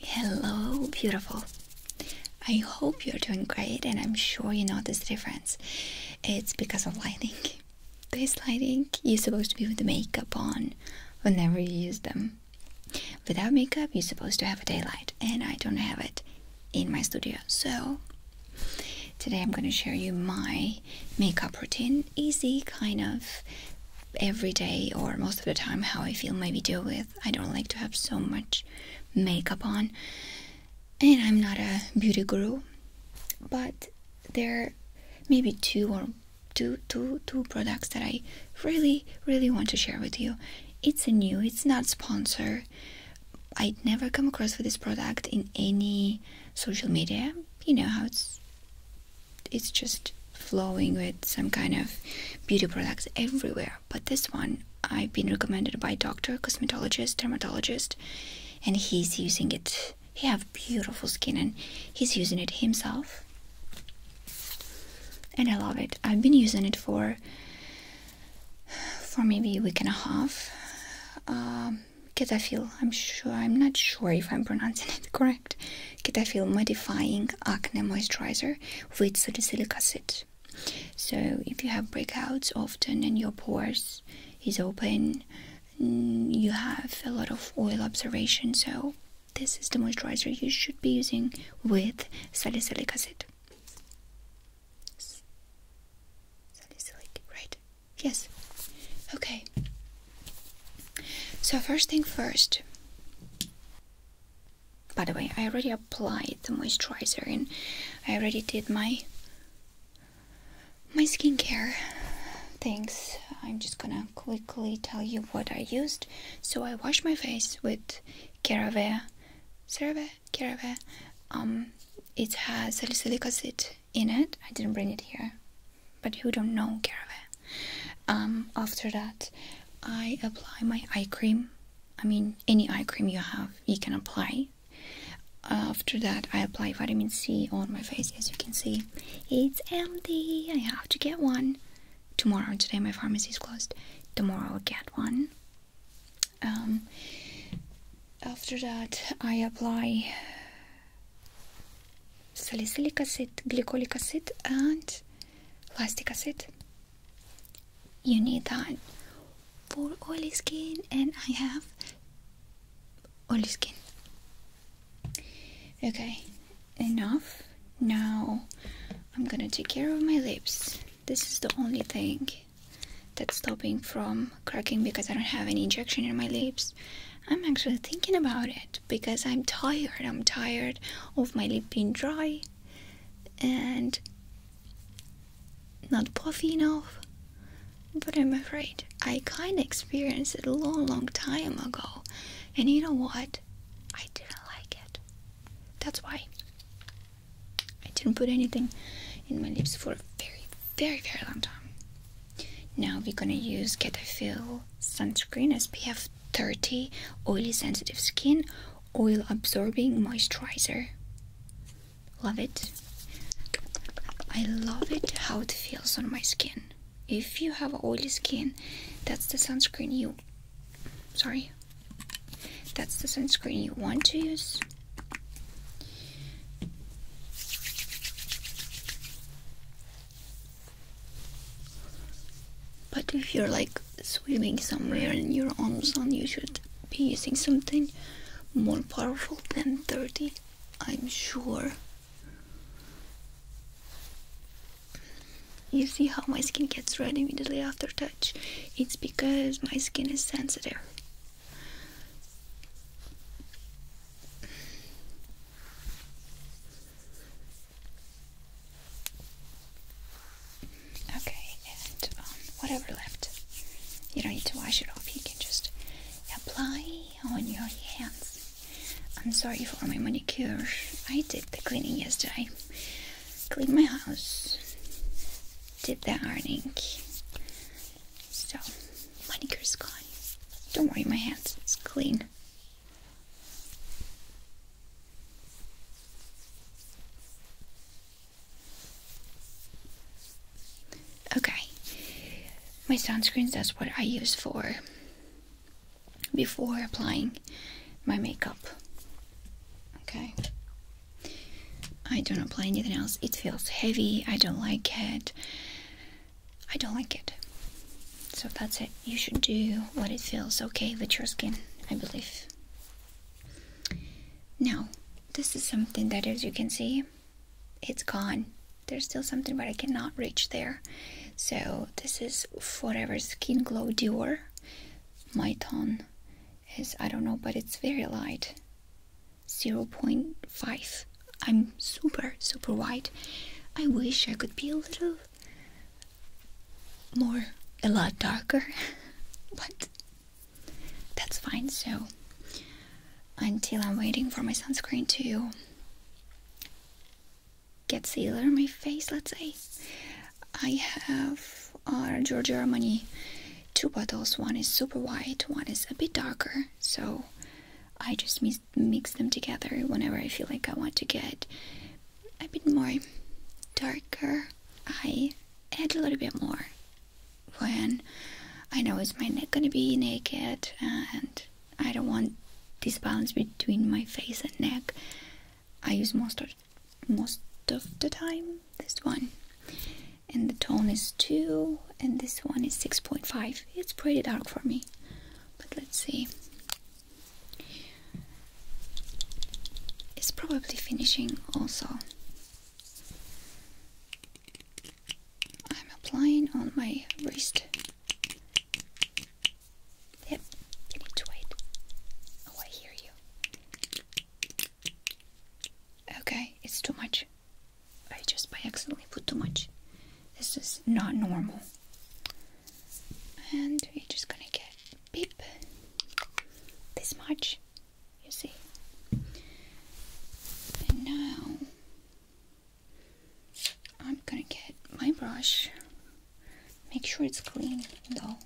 Hello, beautiful. I hope you're doing great, and I'm sure you notice the difference. It's because of lighting. This lighting you're supposed to be with makeup on whenever you use them. Without makeup, you're supposed to have a daylight, and I don't have it in my studio. So, today I'm going to share you my makeup routine. Easy, kind of every day, or most of the time, how I film my video with. I don't like to have so much makeup on. And I'm not a beauty guru, but there maybe two or two two two products that I really really want to share with you. It's a new, it's not sponsor. I'd never come across with this product in any social media. You know how it's it's just flowing with some kind of beauty products everywhere. But this one I've been recommended by doctor, cosmetologist, dermatologist, and he's using it. He have beautiful skin and he's using it himself. And I love it. I've been using it for for maybe a week and a half. Um, Ketafil, I'm sure, I'm not sure if I'm pronouncing it correct. Cetaphil Modifying Acne Moisturizer with Salicylic Acid. So, if you have breakouts often and your pores is open, mm, you have a lot of oil observation. So, this is the moisturizer you should be using with salicylic acid. Salicylic, right? Yes. Okay. So, first thing first, by the way, I already applied the moisturizer and I already did my my skincare things. I'm just gonna quickly tell you what I used. So I washed my face with CeraVe, CeraVe, CeraVe. Um, it has salicylic acid in it. I didn't bring it here, but who don't know CeraVe? Um, after that, I apply my eye cream. I mean, any eye cream you have, you can apply. After that, I apply vitamin C on my face. As you can see, it's empty. I have to get one tomorrow. Today, my pharmacy is closed. Tomorrow, I'll get one. Um, after that, I apply salicylic acid, glycolic acid, and lactic acid you need that for oily skin and I have oily skin okay enough now I'm gonna take care of my lips this is the only thing that's stopping from cracking because I don't have any injection in my lips I'm actually thinking about it because I'm tired I'm tired of my lip being dry and not puffy enough. But I'm afraid I kinda experienced it a long, long time ago, and you know what? I didn't like it. That's why I didn't put anything in my lips for a very, very, very long time. Now we're gonna use Cetaphil sunscreen SPF 30 oily sensitive skin oil absorbing moisturizer love it I love it how it feels on my skin if you have oily skin that's the sunscreen you sorry that's the sunscreen you want to use but if you're like swimming somewhere and your arms on, you should be using something more powerful than 30, I'm sure. You see how my skin gets red immediately after touch? It's because my skin is sensitive. Okay, and um, whatever left, you don't need to wash it off. You can just apply on your hands. I'm sorry for my manicure. I did the cleaning yesterday. Cleaned my house. Did the ironing. So, manicure's gone. Don't worry, my hands. It's clean. Okay, my sunscreens, that's what I use for before applying my makeup. Okay, I don't apply anything else. It feels heavy, I don't like it. I don't like it. So that's it. You should do what it feels okay with your skin, I believe. Now, this is something that, as you can see, it's gone. There's still something, but I cannot reach there. So, this is Forever Skin Glow Dior. My tone is, I don't know, but it's very light 0.5. I'm super, super white. I wish I could be a little more, a lot darker, but that's fine. So, until I'm waiting for my sunscreen to get sealer on my face, let's say, I have our uh, Giorgio Armani two bottles. One is super white, one is a bit darker. So, I just mix them together whenever I feel like I want to get a bit more darker. I add a little bit more when I know it's my neck gonna be naked and I don't want this balance between my face and neck. I use most of most of the time this one. And the tone is 2 and this one is 6.5. It's pretty dark for me. But let's see. It's probably finishing also. I'm applying on my wrist. Yep, you need to wait. Oh, I hear you. Okay, it's too much. I just by accidentally put too much. This is not normal. And you are just gonna get beep this much, you see. And now I'm gonna get my brush. Make sure it's clean though.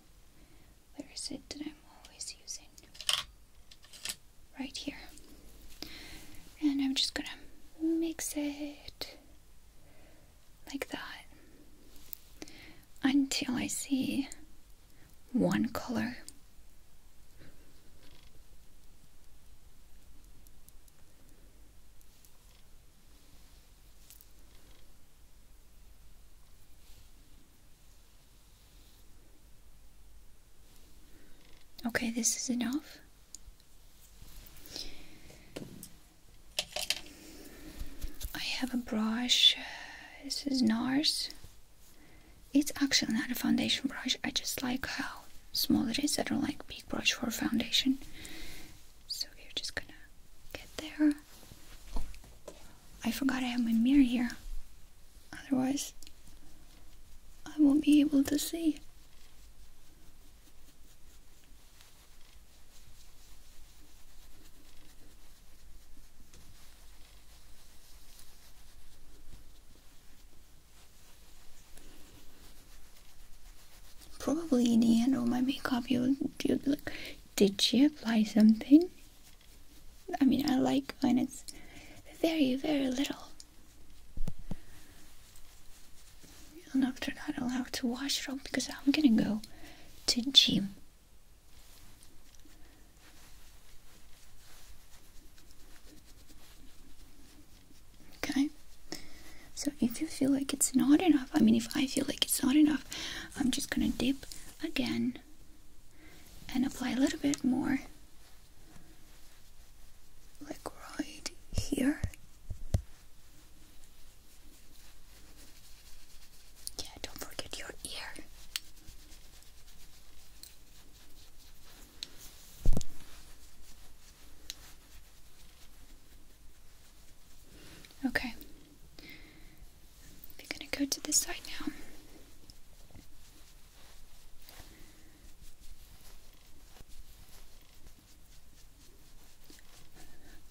Where is it that I'm always using? Right here. And I'm just gonna mix it like that until I see one color. Okay, this is enough. I have a brush. This is NARS. It's actually not a foundation brush. I just like how small it is. I don't like big brush for foundation. So we're just gonna get there. I forgot I have my mirror here. Otherwise, I won't be able to see. Probably in the end all my makeup, you you did she apply something? I mean, I like when it's very, very little. And after that, I'll have to wash it off because I'm gonna go to gym Okay. So if you feel like it's not enough, I mean, if I feel like it's not enough, I'm just gonna dip again and apply a little bit more, like right here. Yeah, don't forget your ear. Okay. We're gonna go to this side now.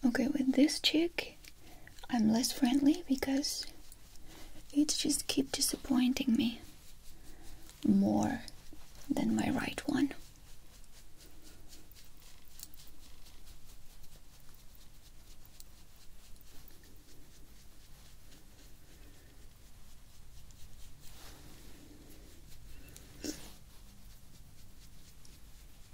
Okay, with this chick. I'm less friendly because it just keep disappointing me more than my right one.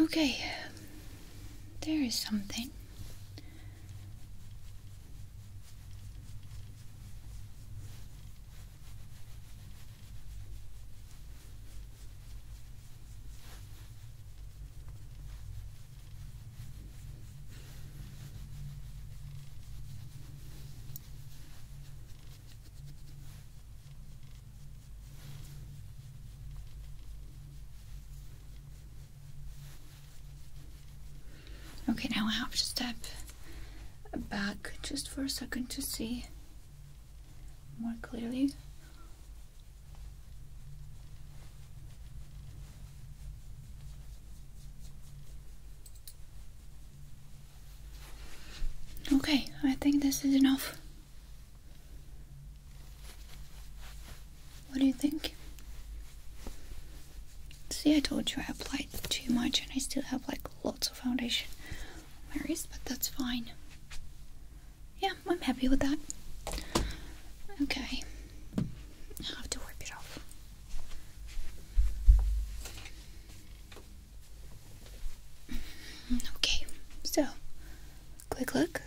Okay, there is something. Okay, now I have to step back just for a second to see more clearly. Okay, I think this is enough. What do you think? See, I told you I applied too much and I still have like lots of foundation worries, but that's fine. Yeah, I'm happy with that. Okay, I have to wipe it off. Okay, so quick look.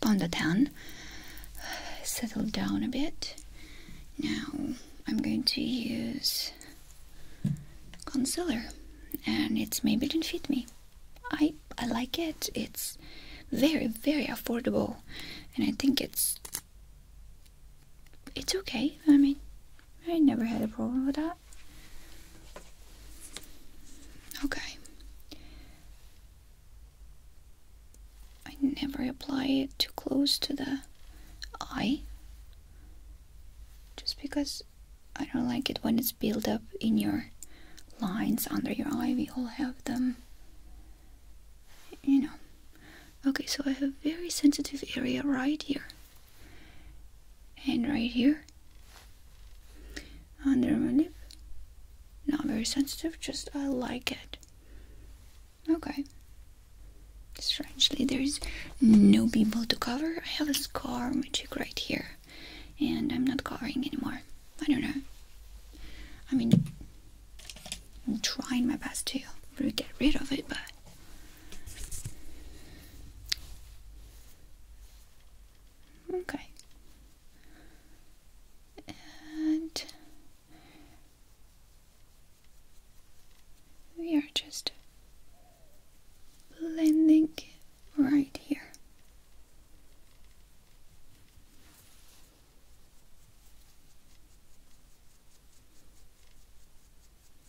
Ponder down. settled down a bit. Now I'm going to use concealer and it's maybe didn't fit me. I I like it. It's very very affordable and I think it's it's okay. I mean, I never had a problem with that. Okay. I never apply it too close to the eye. Just because I don't like it when it's built up in your lines under your eye. We all have them. You know. Okay, so I have a very sensitive area right here. And right here. Under my lip. Not very sensitive, just I like it. Okay. Strangely, there is no pimple to cover. I have a scar on my cheek right here. And I'm not covering anymore. I don't know. I mean, I'm trying my best to get rid of it, but Okay. And we are just blending right here.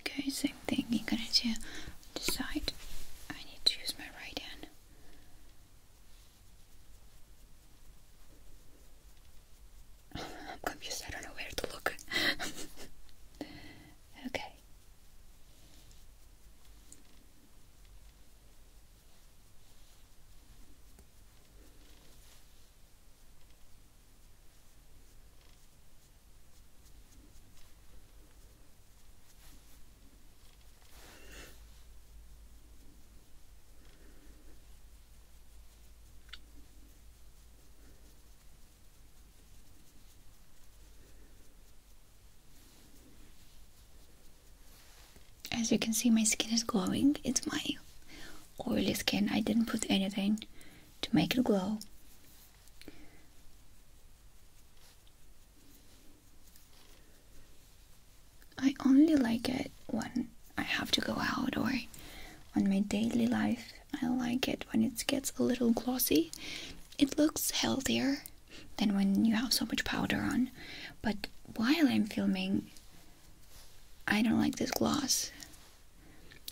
Okay, same thing. You're gonna do this side. I need to use my right hand. I'm confused. I don't know where to look. okay. As you can see, my skin is glowing. It's my oily skin. I didn't put anything to make it glow. I only like it when I have to go out or on my daily life. I like it when it gets a little glossy. It looks healthier than when you have so much powder on. But while I'm filming, I don't like this gloss.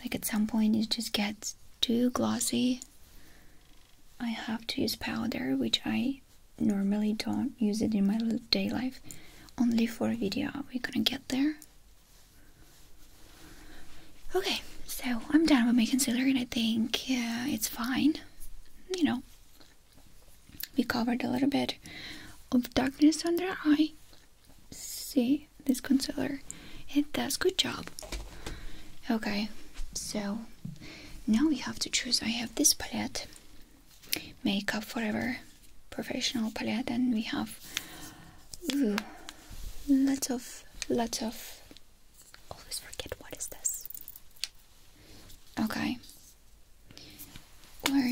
Like at some point, it just gets too glossy I have to use powder, which I normally don't use it in my day life, only for video. we gonna get there? Okay, so I'm done with my concealer and I think it's fine. You know, we covered a little bit of darkness under eye. See, this concealer, it does good job. Okay, so now we have to choose. I have this palette, Makeup Forever Professional Palette, and we have lots of, lots of. Always forget what is this. Okay. Or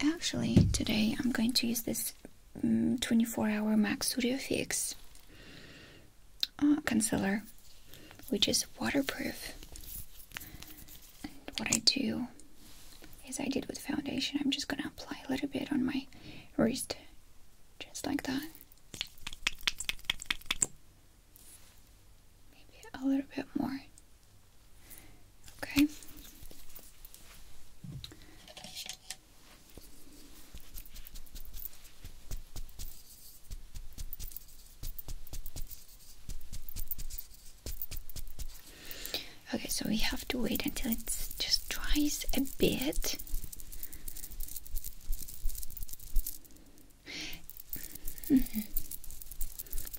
actually, today I'm going to use this mm, 24 hour MAC Studio Fix. Ah, concealer, which is waterproof. And what I do is I did with foundation, I'm just gonna apply a little bit on my wrist, just like that. Maybe a little bit more. Okay. Okay, so we have to wait until it just dries a bit. Mm-hmm.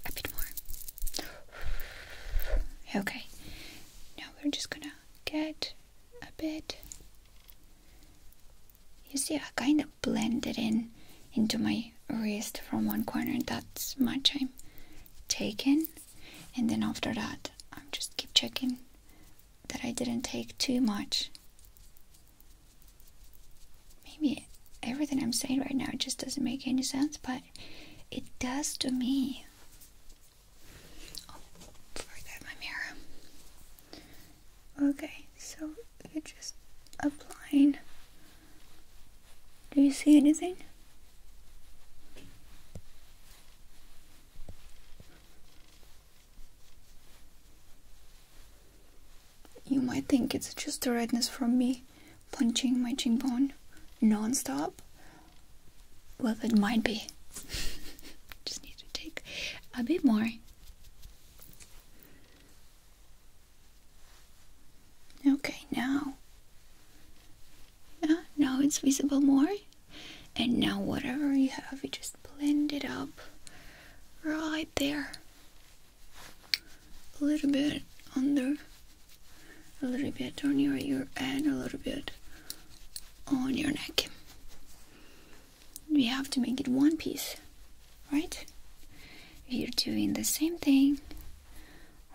A bit more. Okay, now we're just gonna get a bit you see, I kind of blend it in into my wrist from one corner. That's much I'm taking, and then after that, i just keep checking that I didn't take too much. Maybe everything I'm saying right now just doesn't make any sense, but it does to me. Oh, forgot my mirror. Okay, so you're just applying. Do you see anything? You might think it's just the redness from me punching my cheekbone non-stop. Well, it might be. just need to take a bit more. Okay, now. Yeah, now it's visible more. And now whatever you have, you just blend it up right there. A little bit under, a little bit on your ear, and a little bit on your neck we have to make it one piece, right? you are doing the same thing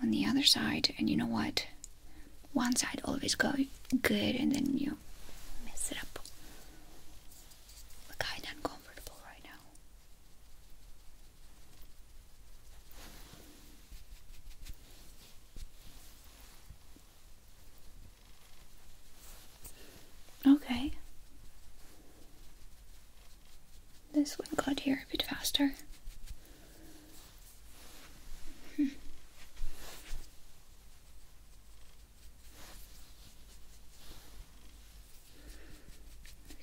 on the other side, and you know what? One side always go good, and then you mess it up. Look kind of uncomfortable right now. Okay. This one got here a bit faster.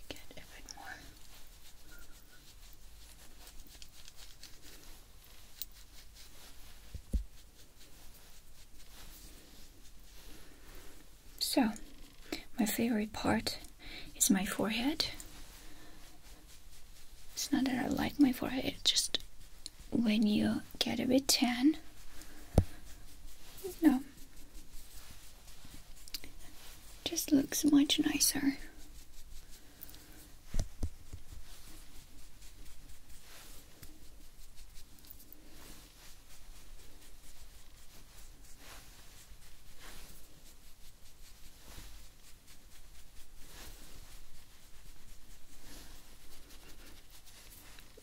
Get a bit more. So, my favorite part is my forehead. It's not that I like my forehead, just when you get a bit tan. No. Just looks much nicer.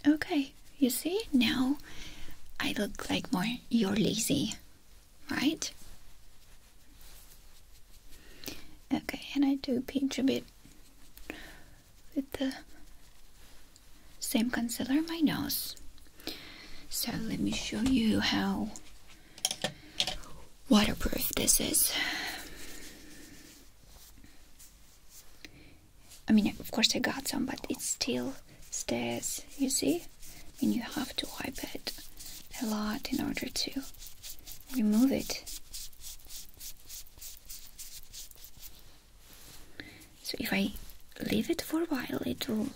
Okay, you see? Now I look like more you're lazy, right? Okay, and I do pinch a bit with the same concealer on my nose. So let me show you how waterproof this is. I mean, of course I got some, but it still stays, you see? and you have to wipe it a lot in order to remove it. So if I leave it for a while, it will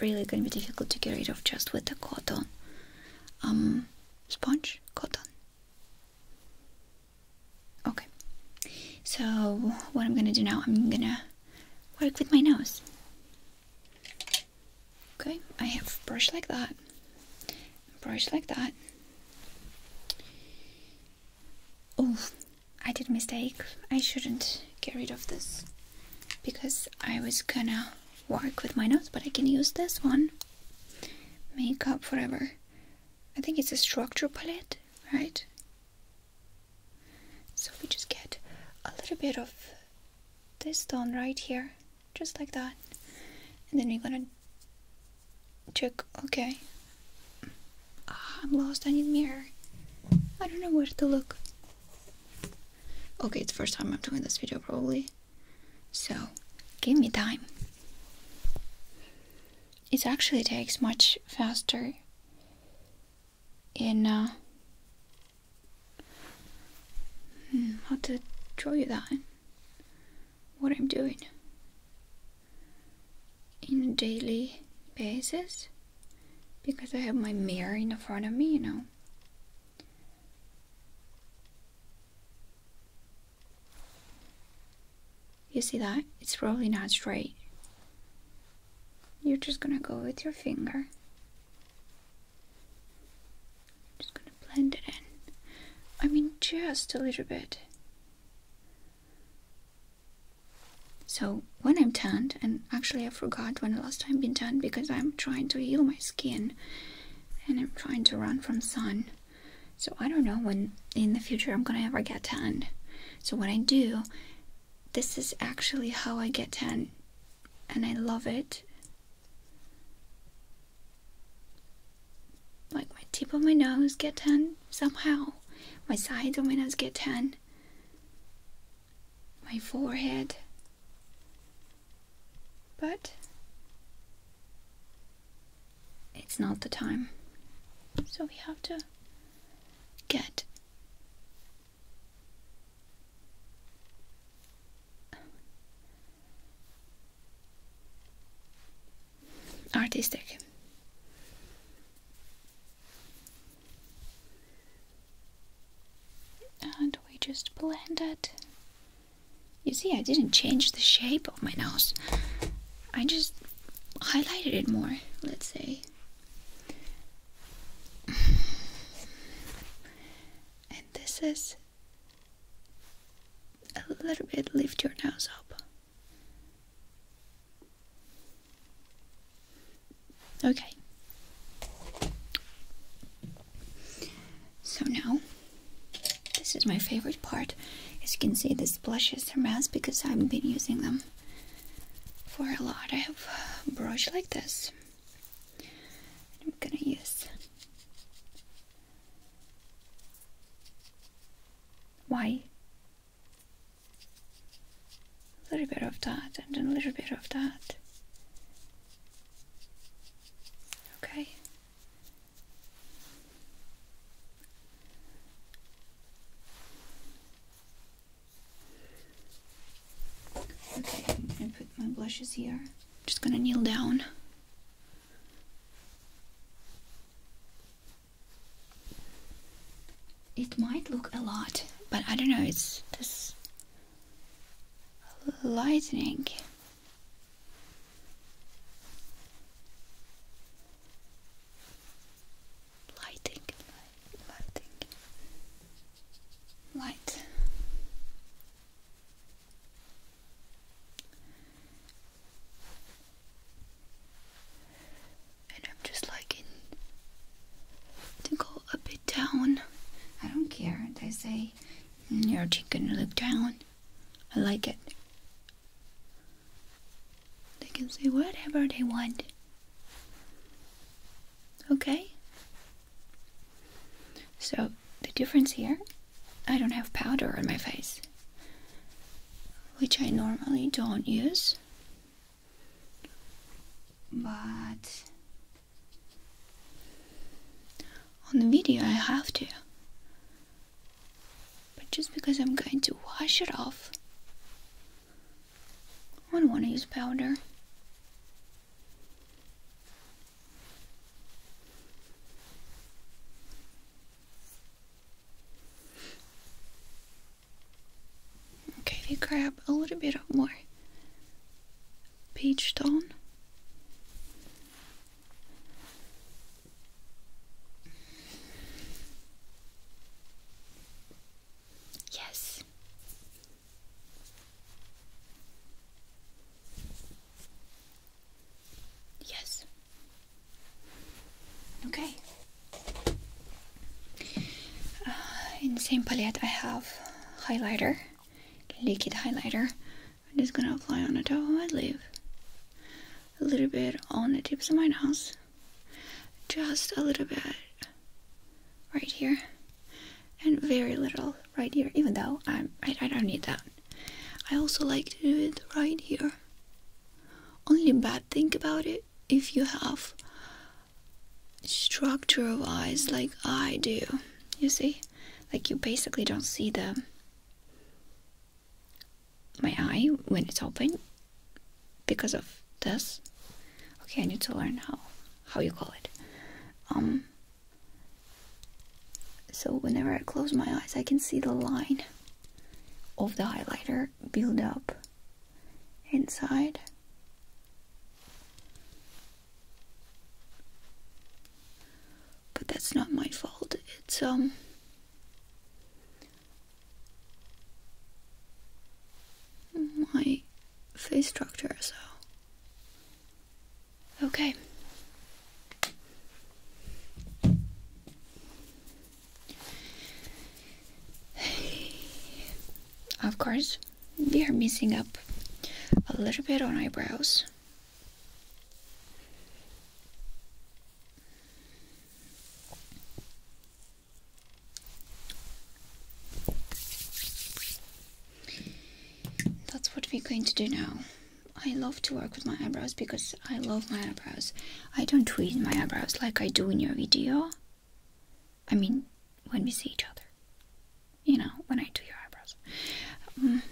really gonna be difficult to get rid of just with the cotton um, sponge, cotton. Okay, so what I'm gonna do now, I'm gonna work with my nose. Okay, I have brush like that, brush like that. Oh, I did mistake. I shouldn't get rid of this because I was gonna work with my notes, but I can use this one. Makeup forever. I think it's a structure palette, right? So we just get a little bit of this done right here, just like that. And then we're gonna Check, okay. Ah, I'm lost, I need mirror. I don't know where to look. Okay, it's first time I'm doing this video probably. So, give me time. It actually takes much faster in uh, hmm, how to show you that what I'm doing in a daily basis because I have my mirror in front of me, you know. You see that? It's probably not straight. You're just gonna go with your finger. Just gonna blend it in. I mean, just a little bit. So when I'm tanned, and actually I forgot when the last time been tanned because I'm trying to heal my skin and I'm trying to run from sun. So I don't know when in the future I'm gonna ever get tanned. So when I do, this is actually how I get tan and I love it. Like my tip of my nose get tan somehow. My side dominance get tan. My forehead. But it's not the time. So we have to get artistic. And we just blend it. You see, I didn't change the shape of my nose. I just highlighted it more, let's say. And this is a little bit lift your nose up. Okay. So now, this is my favorite part. As you can see, the blushes are matte because I've been using them for a lot. I have a brush like this. I'm gonna use Y a little bit of that and then a little bit of that. Okay. Okay, I put my blushes here. Just gonna kneel down. It might look a lot, but I don't know, it's this lightning. Lighting, lighting, light. And I'm just liking to go a bit down. I don't care. They say your cheek can look down. I like it. They can say whatever they want. Okay? So the difference here, I don't have powder on my face, which I normally don't use. But on the video, I have to. But just because I'm going to wash it off, I don't want to use powder. Okay, you grab a little bit of more peach tone. Yes. Yes. Okay. Uh, in the same palette, I have highlighter, liquid highlighter. I'm just gonna apply on the top of my lip, a little bit on the tips of my nose, just a little bit right here, and very little right here. Even though I'm, I don't need that. I also like to do it right here. Only bad thing about it if you have structure of eyes like I do. You see? Like you basically don't see the my eye when it's open because of this. Okay, I need to learn how how you call it. Um so whenever I close my eyes I can see the line of the highlighter build up inside. But that's not my fault. It's um my face structure, so okay. Of course, we are missing up a little bit on eyebrows. That's what we're going to do now. I love to work with my eyebrows because I love my eyebrows. I don't tweak my eyebrows like I do in your video. I mean, when we see each other. You know, when I do your eyebrows. Um,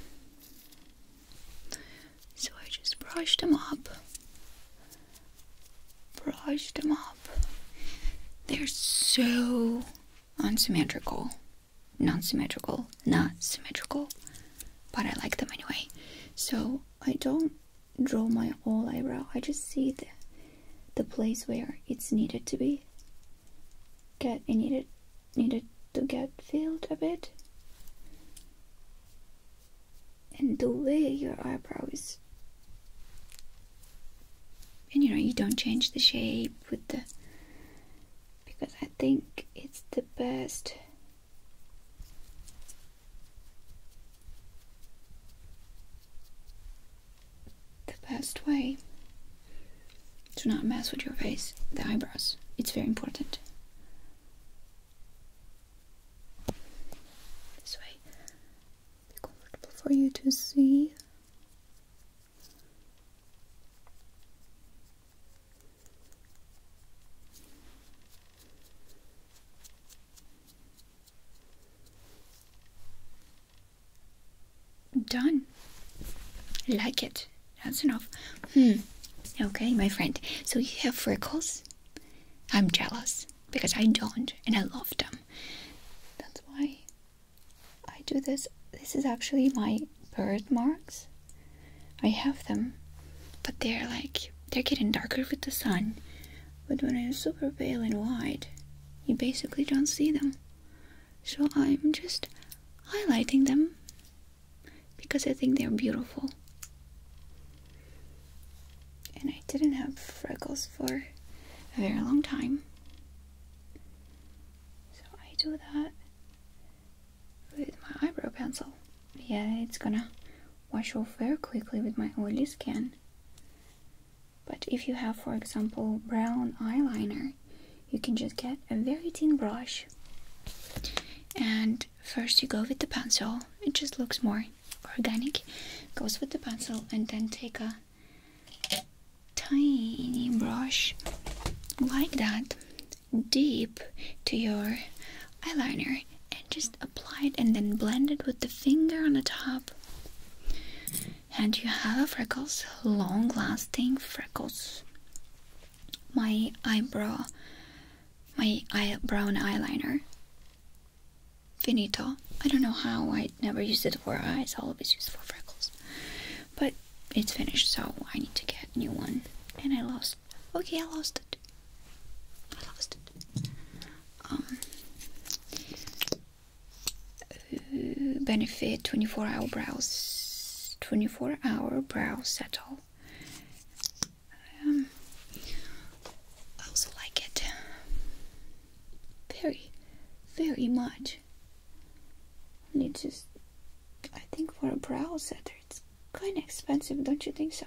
so I just brushed them up. brushed them up. They're so unsymmetrical. Non symmetrical, not symmetrical. But I like them anyway. So I don't draw my whole eyebrow. I just see the, the place where it's needed to be. Get it needed needed to get filled a bit. And the way your eyebrow is and you know you don't change the shape with the because I think it's the best the best way to not mess with your face, the eyebrows. It's very important. This way, be comfortable for you to see. Done. Like it. That's enough. Hmm. Okay, my friend. So you have freckles? I'm jealous because I don't and I love them. That's why I do this. This is actually my birthmarks. I have them, but they're like they're getting darker with the sun. But when I'm super pale and white, you basically don't see them. So I'm just highlighting them because I think they're beautiful. And I didn't have freckles for a very long time. So I do that with my eyebrow pencil. Yeah, it's gonna wash off very quickly with my oily skin. But if you have, for example, brown eyeliner, you can just get a very thin brush and first you go with the pencil, it just looks more organic. Goes with the pencil and then take a tiny brush like that deep to your eyeliner and just apply it and then blend it with the finger on the top and you have freckles, long lasting freckles. My eyebrow, my eye, brown eyeliner. Finito. I don't know how, I never used it for eyes, I always use it for freckles. But it's finished, so I need to get a new one. And I lost. Okay, I lost it. I lost it. Um, benefit 24 hour browse 24 hour browse settle. Um, I also like it very very much and just I think for a brow settle, it's kind of expensive don't you think so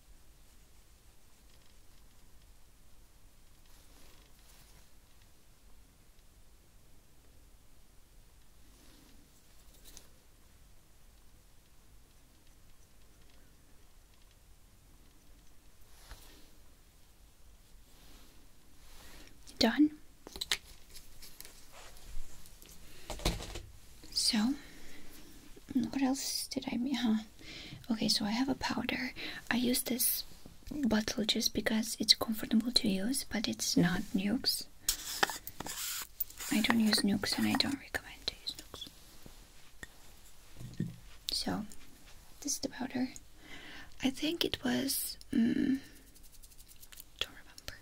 Done. So, what else did I? Huh? Okay, so I have a powder. I use this bottle just because it's comfortable to use, but it's not nukes. I don't use nukes and I don't recommend to use nukes. So, this is the powder. I think it was. Mm, don't remember.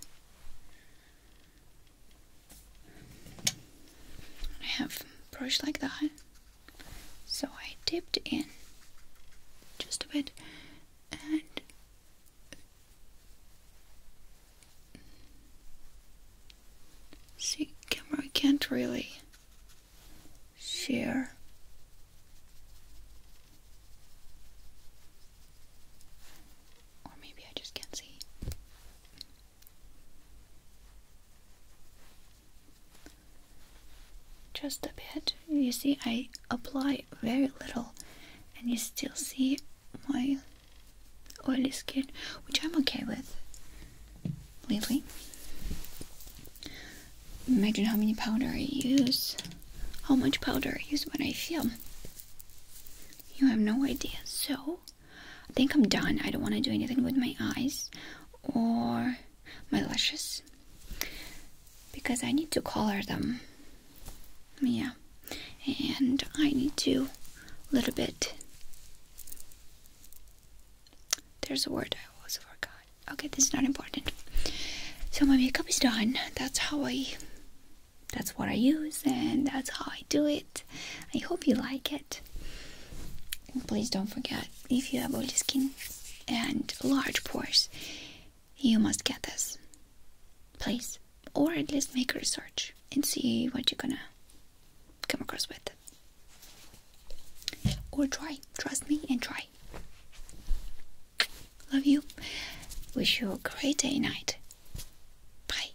I have brush like that. So I dipped in just a bit and see camera I can't really share or maybe I just can't see just a bit. You see, I apply very little, and you still see my oily skin, which I'm okay with. Lately, imagine how many powder I use, how much powder I use when I film. You have no idea. So, I think I'm done. I don't want to do anything with my eyes or my lashes because I need to color them. Yeah, and I need to a little bit. There's a word I also forgot. Okay, this is not important. So my makeup is done. That's how I. That's what I use, and that's how I do it. I hope you like it please don't forget, if you have oily skin and large pores, you must get this. Please. Or at least make research and see what you're gonna come across with. Or try. Trust me and try. Love you. Wish you a great day night. Bye.